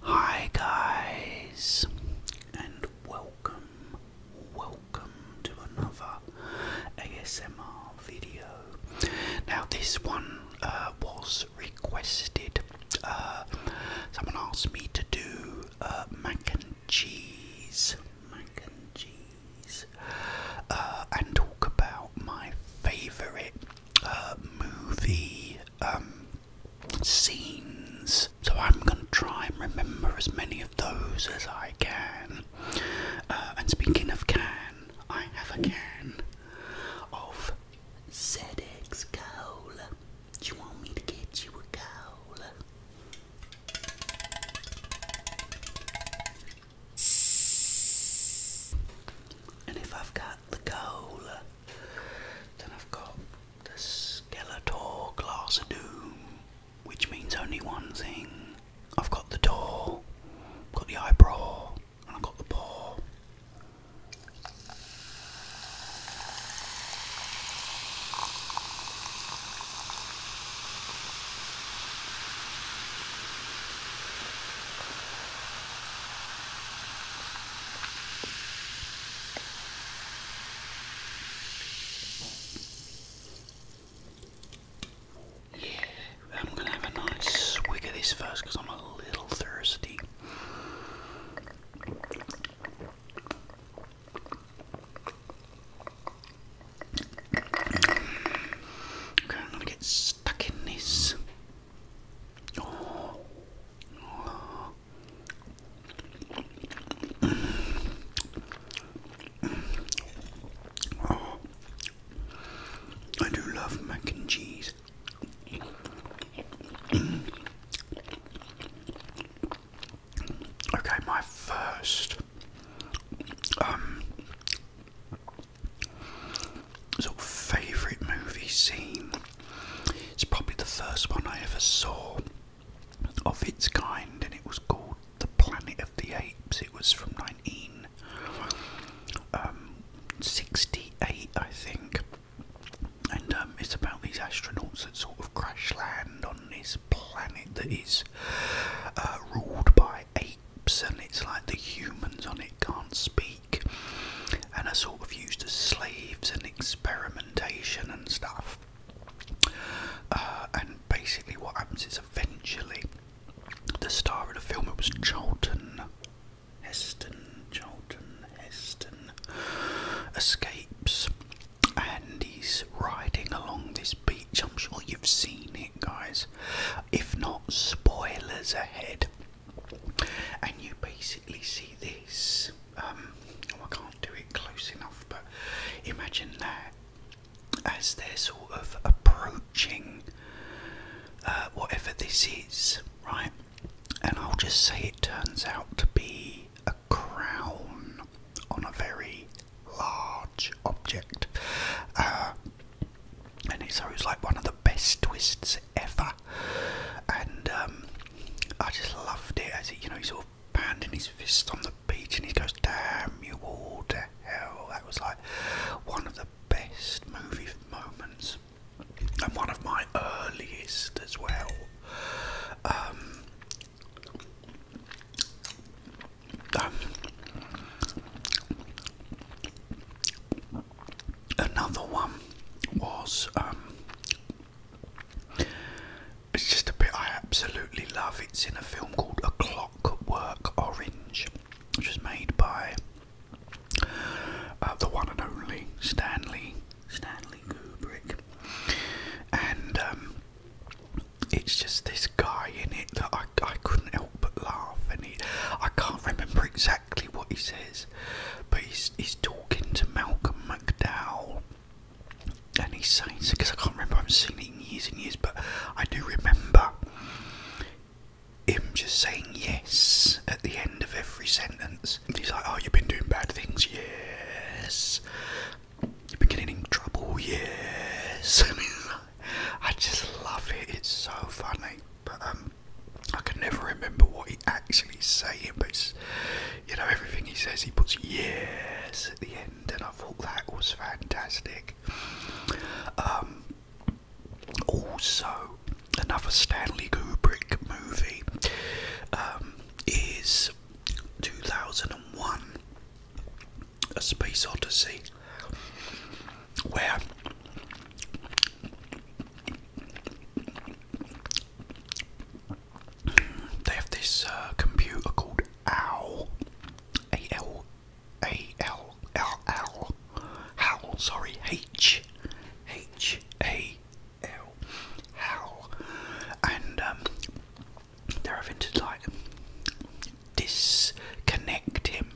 Hi guys and welcome, welcome to another ASMR video. Now this one uh, was requested. Uh, someone asked me to do uh, mac and cheese, mac and cheese, and talk about my favourite movie. Um, scenes. So I'm going to try and remember as many of those as I can. Uh, and speaking of can, I have a can of ZX Cola. Do you want me to get you a cola? And if I've got the cola, then I've got the Skeletor Glass of Doom, which means only one thing. I've got the door, I've got the eyebrow, and I've got the paw. Yeah, I'm gonna have a nice swig of this first because I'm a little thirsty. Okay, I'm gonna get stuck in this. I do love mac and cheese. okay, my first um, favourite movie scene it's probably the first one I ever saw of its kind, and it was called The Planet of the Apes. It was from 1968, um, I think. And um, it's about these astronauts that sort of crash land on this planet that is uh, ruled by apes, and it's like the humans on it can't speak and are sort of used as slaves and experimentation and stuff. Uh, and basically, what happens is eventually the star of the film it was Charlton Heston, Charlton Heston escapes, and he's riding along this beach. I'm sure you've seen it, guys. If not, spoilers ahead and you basically see this. Um, oh, I can't do it close enough, but imagine that as they're sort of approaching uh, whatever this is, right? And I'll just say it turns out to be a crown on a very large object. Uh, and it's always like one of the best twists ever, and um, I just loved it as it, you know, he sort of pounding his fist on the beach and he goes, "Damn you all to hell!" That was like one of the best movie moments, and one of my earliest as well. Um, um, Another one was um, it's just a bit I absolutely love. It's in a film called A Clockwork Orange, which was made by uh, the one and only Stanley Stanley Kubrick, and um, it's just this guy in it that I I couldn't help but laugh, and he I can't remember exactly exactly what he says, but he's, talking to Malcolm McDowell. And he's saying, because I can't remember, I haven't seen it in years and years, but I do remember him just saying yes at the end of every sentence. He's like, Oh, you've been doing bad things, yes. You've been getting in trouble, yes. I just love it, it's so funny. Um, I can never remember what he actually saying, but you know everything he says, he puts yes at the end, and I thought that was fantastic. Um, also, another Stanley Kubrick movie um, is 2001 A Space Odyssey, where they have this uh, computer called OWL, A L A L L L, HAL. Sorry, H H A L, HAL, and um, they're having to like disconnect him,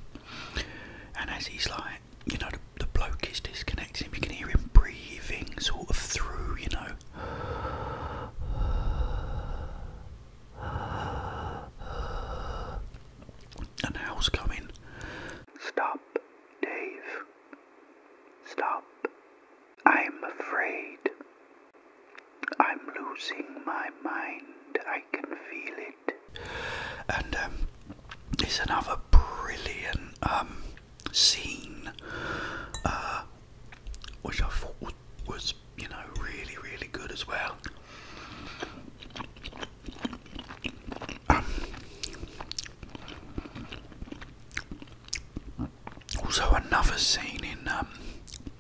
and as he's like you know the, bloke is disconnecting You can hear him breathing sort of through. You know. And how's coming? Stop, Dave. Stop. I'm afraid. I'm losing my mind. I can feel it. And um, it's another brilliant um, scene, uh, which I thought was, you know, really, really good as well. Um, also, another scene in um,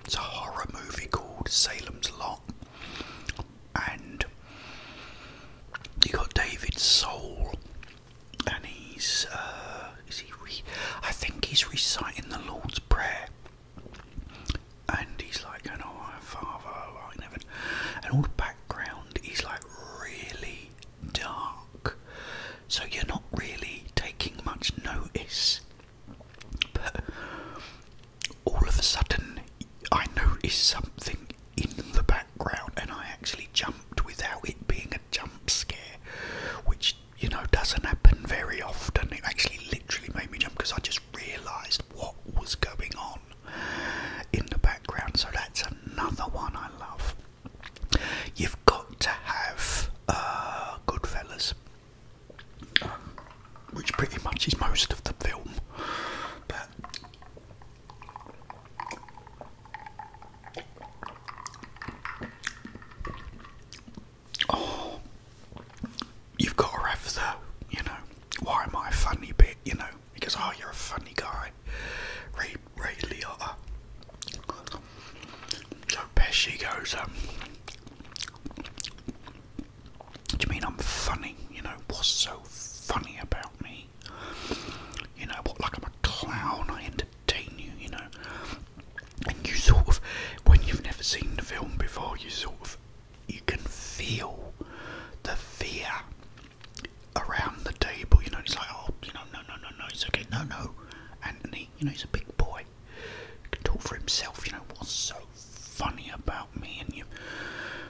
it's a horror movie called Salem's Lot, and you got David Soul and he's uh, is he I think he's reciting the Lord's Prayer, and he's like, "Oh, my Father, oh, in and all the background is like really dark, so you're not really taking much notice. But all of a sudden, I notice something in the background and I actually jumped without it being a jump scare, which you know doesn't happen very often. It actually literally made me jump because I just realised what was going on in the background. So that's another one I love. You've got to have uh, Goodfellas, which pretty much is most of the film, Oh, you've got to have the, you know, why am I funny bit, you know, because, oh, you're a funny guy. Ray, Ray Liotta. So Pesci goes, um, do you mean I'm funny? You know, what's so funny about me? You know what? Like I'm a clown. I entertain you. You know. And you sort of, when you've never seen the film before, you sort of, you can feel the fear around the table. You know, it's like, oh, you know, no, no, no, no, it's okay, no, no. Anthony, you know, he's a big boy. He can talk for himself. You know what's so funny about me? And you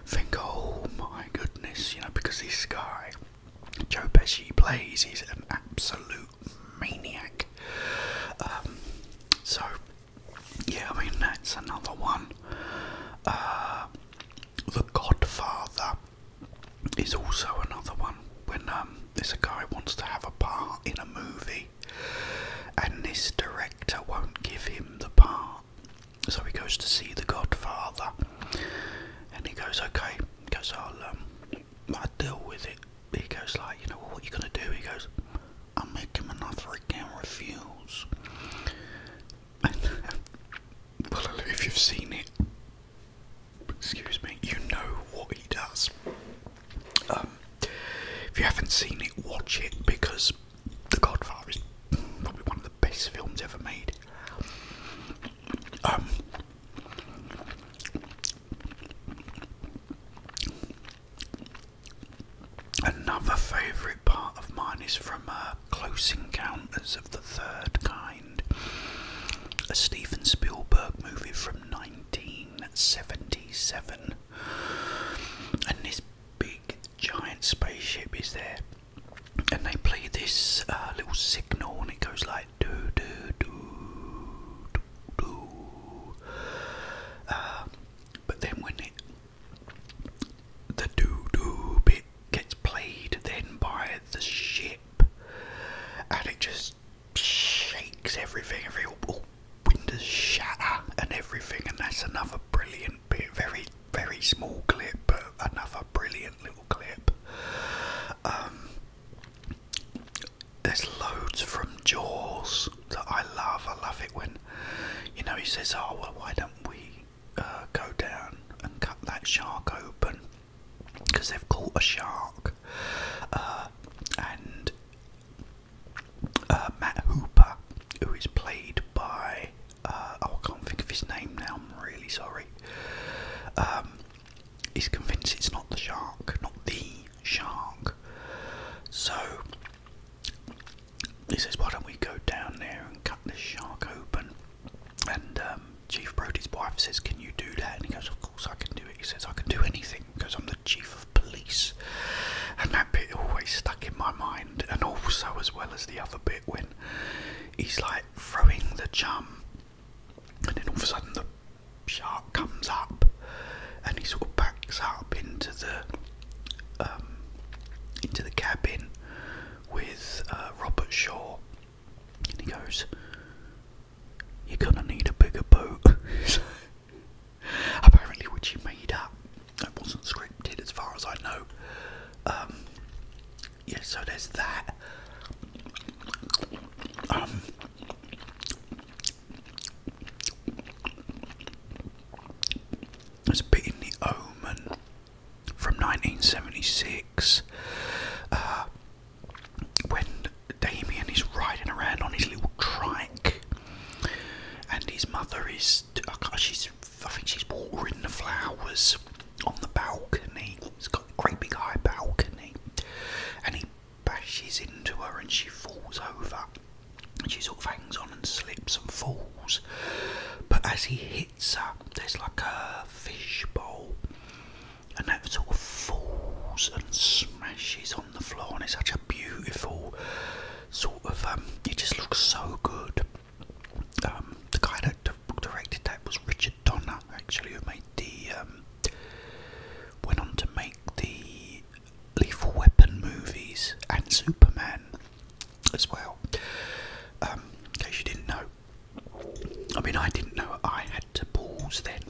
think, oh my goodness, you know, because this guy Joe Pesci plays. He's an absolute maniac. Um, so, yeah, I mean, that's another one. Uh, the Godfather is also another one. When um, this guy wants to have a part in a movie, and this director won't give him the part, so he goes to see the Godfather, and he goes, "Okay." He goes, "I'll um, I deal with it." He goes, "Like, you know, what are you gonna do?" He goes, "I'll make him an offer he refuse." well, if you've seen it, excuse me, you know what he does. Um, if you haven't seen it, watch it because The Godfather is probably one of the best films ever made. Um, another favourite part of mine is from uh, Close Encounters of the Third Kind, a Steven Spielberg movie from 1977, and this big giant spaceship is there and they play this uh, little signal, and it goes like do do do do do. Uh, but then when it the do do bit gets played, then by the ship, and it just shakes everything. Every all windows shatter and everything, and that's another brilliant bit. Very very small clip, but another brilliant um, there's loads from Jaws that I love. I love it when, you know, he says, "Oh well, why don't we uh, go down and cut that shark open?" Because they've caught a shark, uh, and uh, Matt Hooper, who is played by uh, oh, I can't think of his name now. I'm really sorry. Um, he's convinced it's not the shark, not the shark. So he says, "Why don't we go down there and cut this shark open?" And um, Chief Brody's wife says, "Can you do that?" And he goes, "Of course I can do it." He says, "I can do anything because I'm the chief of police." And that bit always stuck in my mind. And also, as well as the other bit, when he's like, throwing the jam, and then all of a sudden the shark comes up, and he sort of backs up into the um, into the cabin with uh, Robert Shaw, and he goes, "You're gonna need a bigger boat." Apparently, which he made up. That wasn't scripted, as far as I know. Um, yeah, so there's that. Um, there's a bit in The Omen from 1976 uh, when Damien is riding around on his little trike and his mother is, she's, I think she's watering the flowers on the balcony. It's got a great big high balcony, and he bashes into her, and she falls over. And she sort of hangs on and slips and falls. But as he hits her, there's like a fishbowl, and that sort of falls and smashes on the floor. And it's such a beautiful sort of. Um, it just looks so good. Um, the guy that directed that was Richard Donner, actually, who made the um, went on to make the Lethal Weapon movies and Superman as well. Um, in case you didn't know, I mean, I didn't know I had to pause then,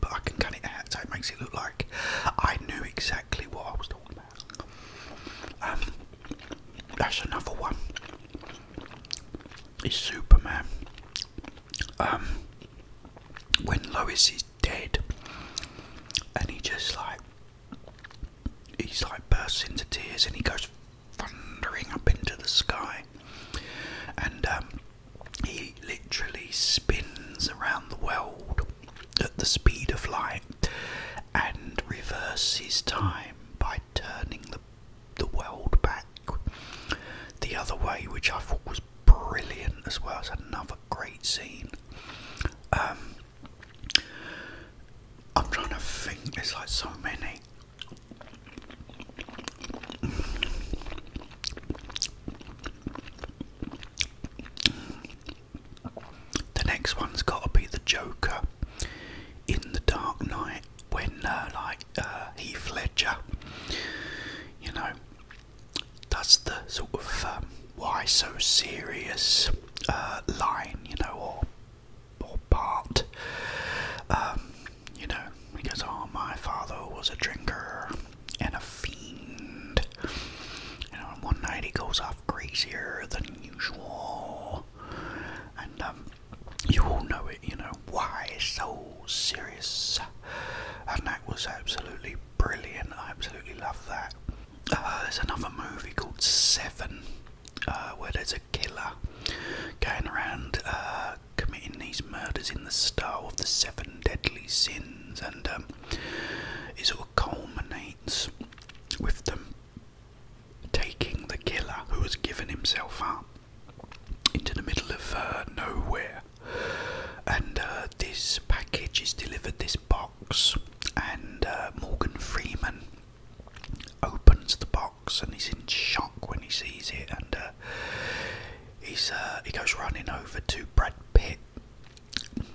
but I can cut it out so it makes it look like I knew exactly what I was talking about. Um, that's another one is Superman. Um, when Lois is dead, and he just like he's like bursts into tears and he goes thundering up into the sky, and um, he literally spins around the world at the speed of light and reverses time by turning the the world back the other way, which I thought was brilliant as well. as another great scene. Um, I'm trying to think. There's like so many. The next one's got to be the Joker in the Dark night, when uh, like uh, Heath Ledger, you know, does the sort of um, why so serious uh, line, you know, or or part, um, you know, because oh my father was a drinker and a fiend, you know, and one night he goes off crazier than usual, and um, you all know it, you know, why so serious? And that was absolutely brilliant. I absolutely love that. Uh, there's another movie called Seven, uh, where there's a killer going around uh, committing these murders in the style of the Seven Deadly Sins, and um, it all culminates with them taking the killer who has given himself up into the middle of uh, nowhere. And uh, this package is delivered, this box, and uh, Morgan Freeman opens the box and he's in shock when he sees it. And he's he goes running over to Brad Pitt,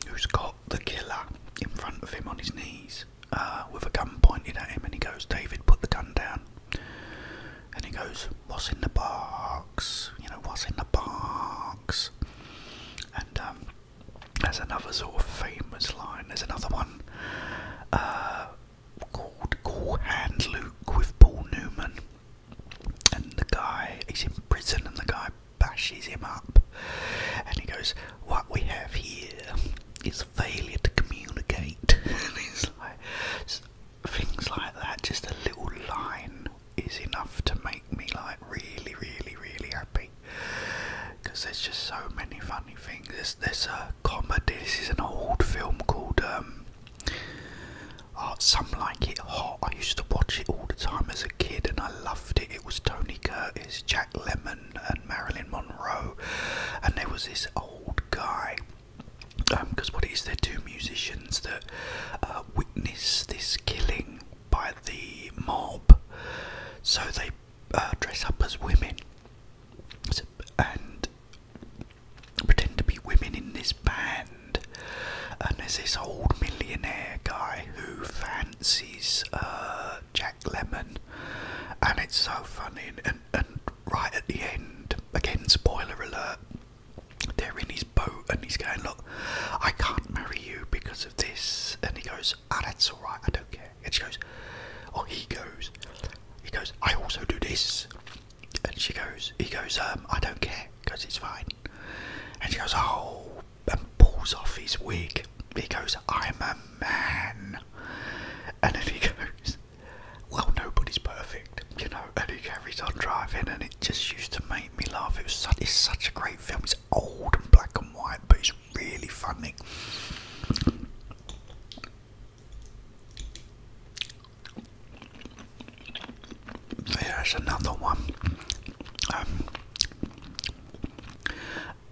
who's got the killer in front of him on his knees. Uh, with a gun pointed at him, and he goes, David, put the gun down. And he goes, What's in the box? You know, what's in the box? And um, there's another sort of famous line. There's another one uh, called Call Hand Luke with Paul Newman. And the guy, he's in prison, and the guy bashes him up. And he goes, What we have here it's failure to communicate. it's like, things like that, just a little line is enough to make me like really, really, really happy. Because there's just so many funny things. There's, there's a comedy. This is an old film called um, oh, Some Like It Hot. I used to watch it all the time as a kid and I loved it. It was Tony Curtis, Jack Lemon and, Marilyn Monroe, and there was this old guy. Because um, what is there? it two musicians that uh, witness this killing by the mob, so they uh, dress up as women and pretend to be women in this band. And there's this old millionaire guy who fancies uh, Jack Lemon, and it's so funny. and right at the end, again, spoiler alert, they're in his boat and he's going, Look, I can't marry you because of this. And he goes, Ah, that's alright, I don't care. And she goes, Oh, he goes, He goes, I also do this. And she goes, He goes, um, I don't care because it's fine. And she goes, Oh, and pulls off his wig. He goes, I'm a man. And then he goes, well, nobody's perfect, you know, and he carries on driving, and it just used to make me laugh. it's such a great film. It's old and black and white, but it's really funny. There's another one. Um,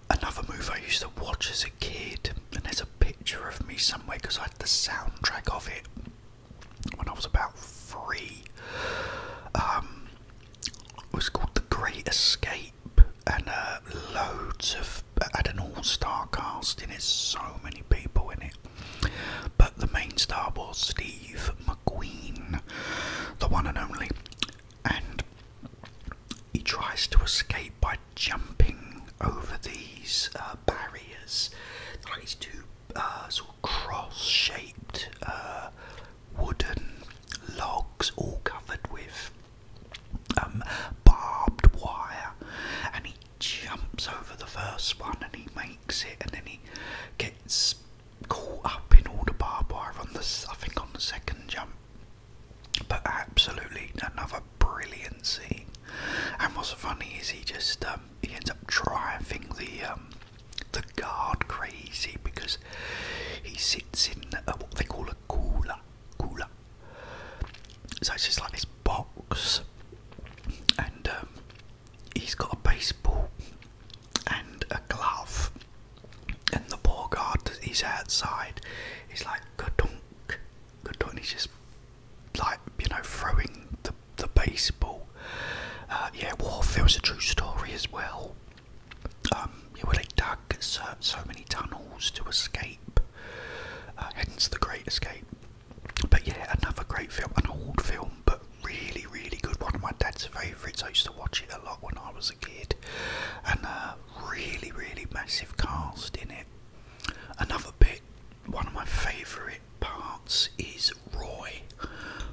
another movie I used to watch as kid, and there's a picture of me somewhere because I had the soundtrack of it when I was about three. Um, it was called The Great Escape, and uh, loads of uh, had an all-star cast in it. So many people in it, but the main star was Steve McQueen, the one and only, and he tries to escape by jumping over these uh, barriers, like these two uh, cross-shaped uh, wooden logs, all covered with um, barbed wire, and he jumps over the first one and he makes it, and then he gets caught up in all the barbed wire on the second jump. But absolutely another brilliant scene. And what's funny is he just um, he ends up driving the um, the guard crazy because he sits in a, what they call a cooler, cooler. So it's just like this box, and um, he's got a baseball and a glove, and the poor guard that he's outside he's like a dunk. Good just like you know throwing the the baseball. Uh, yeah, was a true story as well. Um, where they dug so, many tunnels to escape, uh, hence the Great Escape. But yeah, another great film, an old film, but really, really good. One of my dad's favourites. I used to watch it a lot when I was a kid, and uh, really, really massive cast in it. Another bit, one of my favourite parts is Roy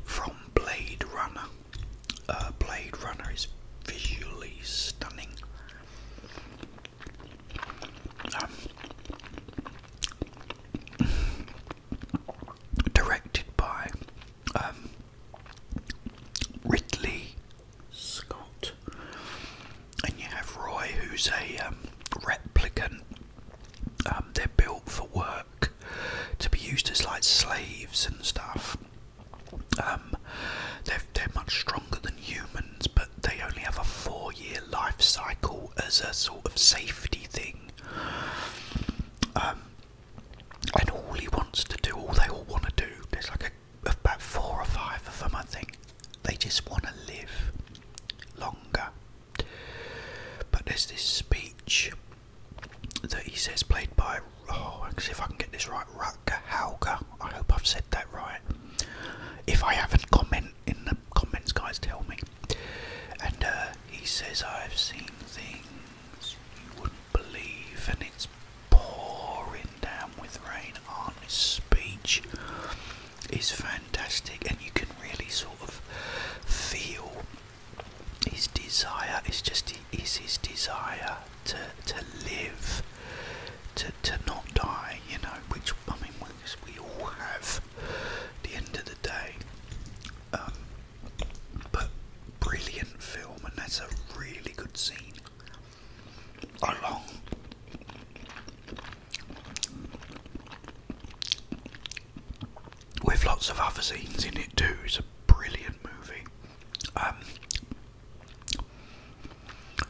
from Blade Runner. Uh, Blade Runner is visually stunning. Um, directed by um, Ridley Scott. And you have Roy, who's a um, replicant. Um, they're built for work to be used as like slaves and stuff. Um, they're, they're much stronger than humans, but they only have a four year life cycle as a sort of safety thing. and all he wants to do, all they all want to do, there's like a about four or five of them, I think. They just want to live longer. But there's this speech that he says, played by, oh, see if I can get this right, Rutger Hauger. I hope I've said that right. If I haven't, comment in the comments, guys, tell me. And uh, he says, I've seen things you wouldn't believe, and it's pouring down with rain. on his speech is fantastic, and you can really sort of feel his desire. It's just is his desire to to live, to to not die. You know, which I mean, we all have. the end of the day, um, but brilliant film, and that's a really good scene along with lots of other scenes in it too. It's a brilliant movie. Um,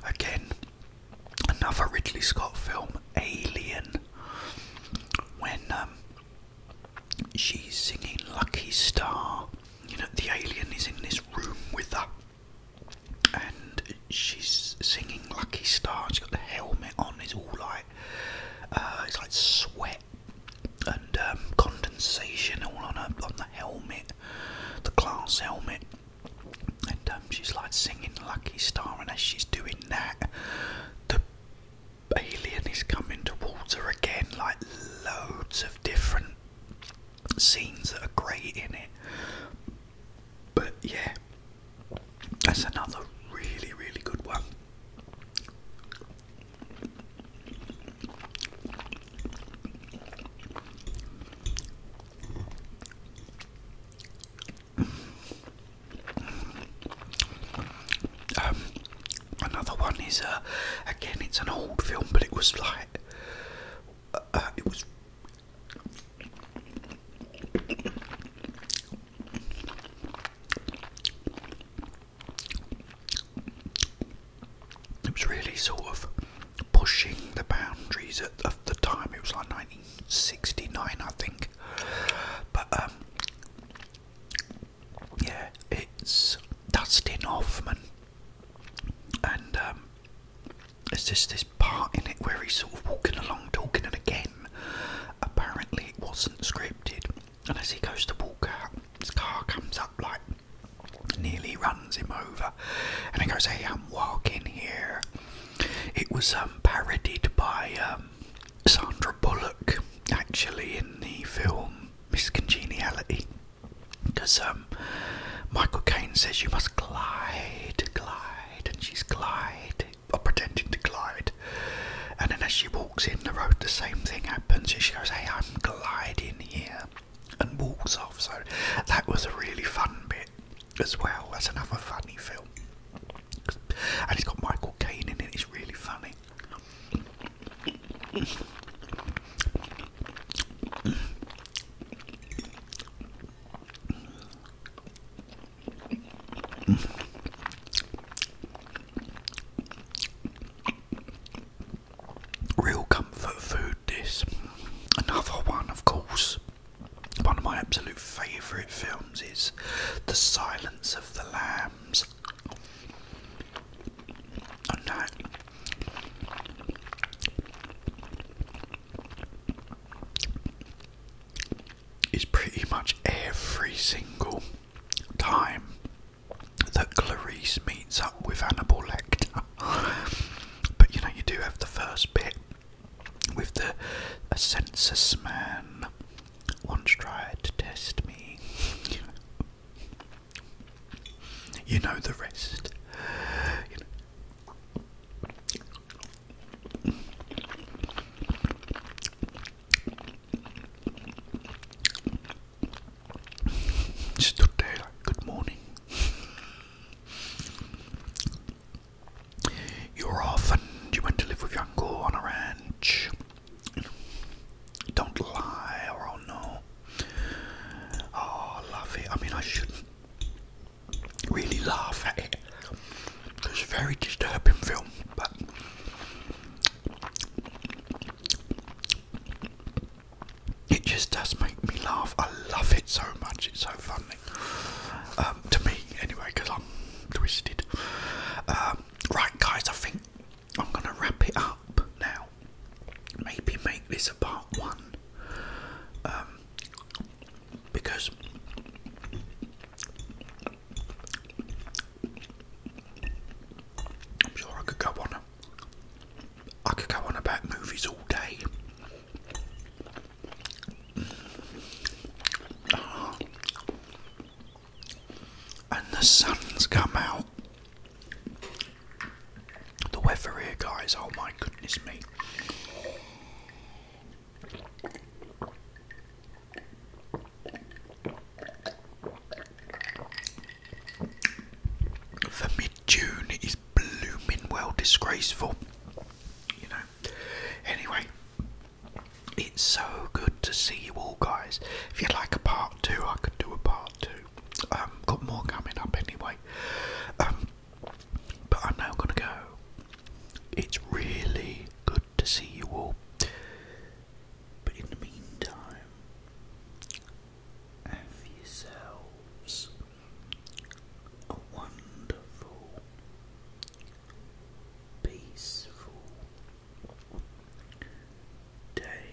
again, another Ridley Scott film, Alien, when um, she's singing Lucky Star. You know, the alien is in this room with her and she's singing Lucky Star. She's got the helmet on. It's all like uh, it's like sweat and um, condensation all on her on the helmet, the glass helmet. And um, she's like singing Lucky Star, and as she's doing that, the alien is coming towards her again. Like loads of different scenes that are great in it. But yeah, that's another really, really good one. Um, another one is uh, again, it's an old film, but it was like uh, uh, it was it was really sort of pushing the boundaries at, the time. It was like 1969, I think. But um, yeah, it's Dustin Hoffman, and um, it's just this part in it where he's sort of walking along talking, and again, apparently it wasn't scripted. And as he goes to walk out, his car comes up like nearly runs him over, and he goes, "Hey, I'm walking here." It was um, parodied by um, Sandra Bullock actually in the film Miss Congeniality, because um, Michael Caine says you must glide, glide and she's gliding, or pretending to glide. And then as she walks in the road, the same thing happens. She goes, Hey, I'm gliding here, and walks off. So that was a really fun bit as well. That's another funny film. And it's got Michael Caine in it, it's really funny. Real comfort food, this. Another one, of course. One of my absolute favourite films is The Silence of the Lambs. And that is pretty much every single time that Clarice meets up with Hannibal Lecter. but you know, you do have the first bit with the census man once tried to test me. you know the rest. Stood there good morning. You are off and you went to live with your uncle on a ranch. Don't lie or I'll know. Oh, I I mean, I shouldn't really laugh at it. It's a very disturbing film, but it just does make me laugh. I love it so much. It's so funny um, to me, anyway, because I'm twisted. Um, right, guys, I think I'm gonna wrap it up now. Maybe make this a part one. Um, because I'm sure I could go on. I could go on about movies all day. Ah. And the sun's come out. The weather here, guys. Oh my goodness me! For mid June is blooming well disgraceful, you know. Anyway, it's so good to see you all, guys. If you'd like a part two, I could do a part two. Um, got more coming up anyway. Um, but I'm now going to go. It's really good to see you all. But in the meantime, have yourselves a wonderful, peaceful day.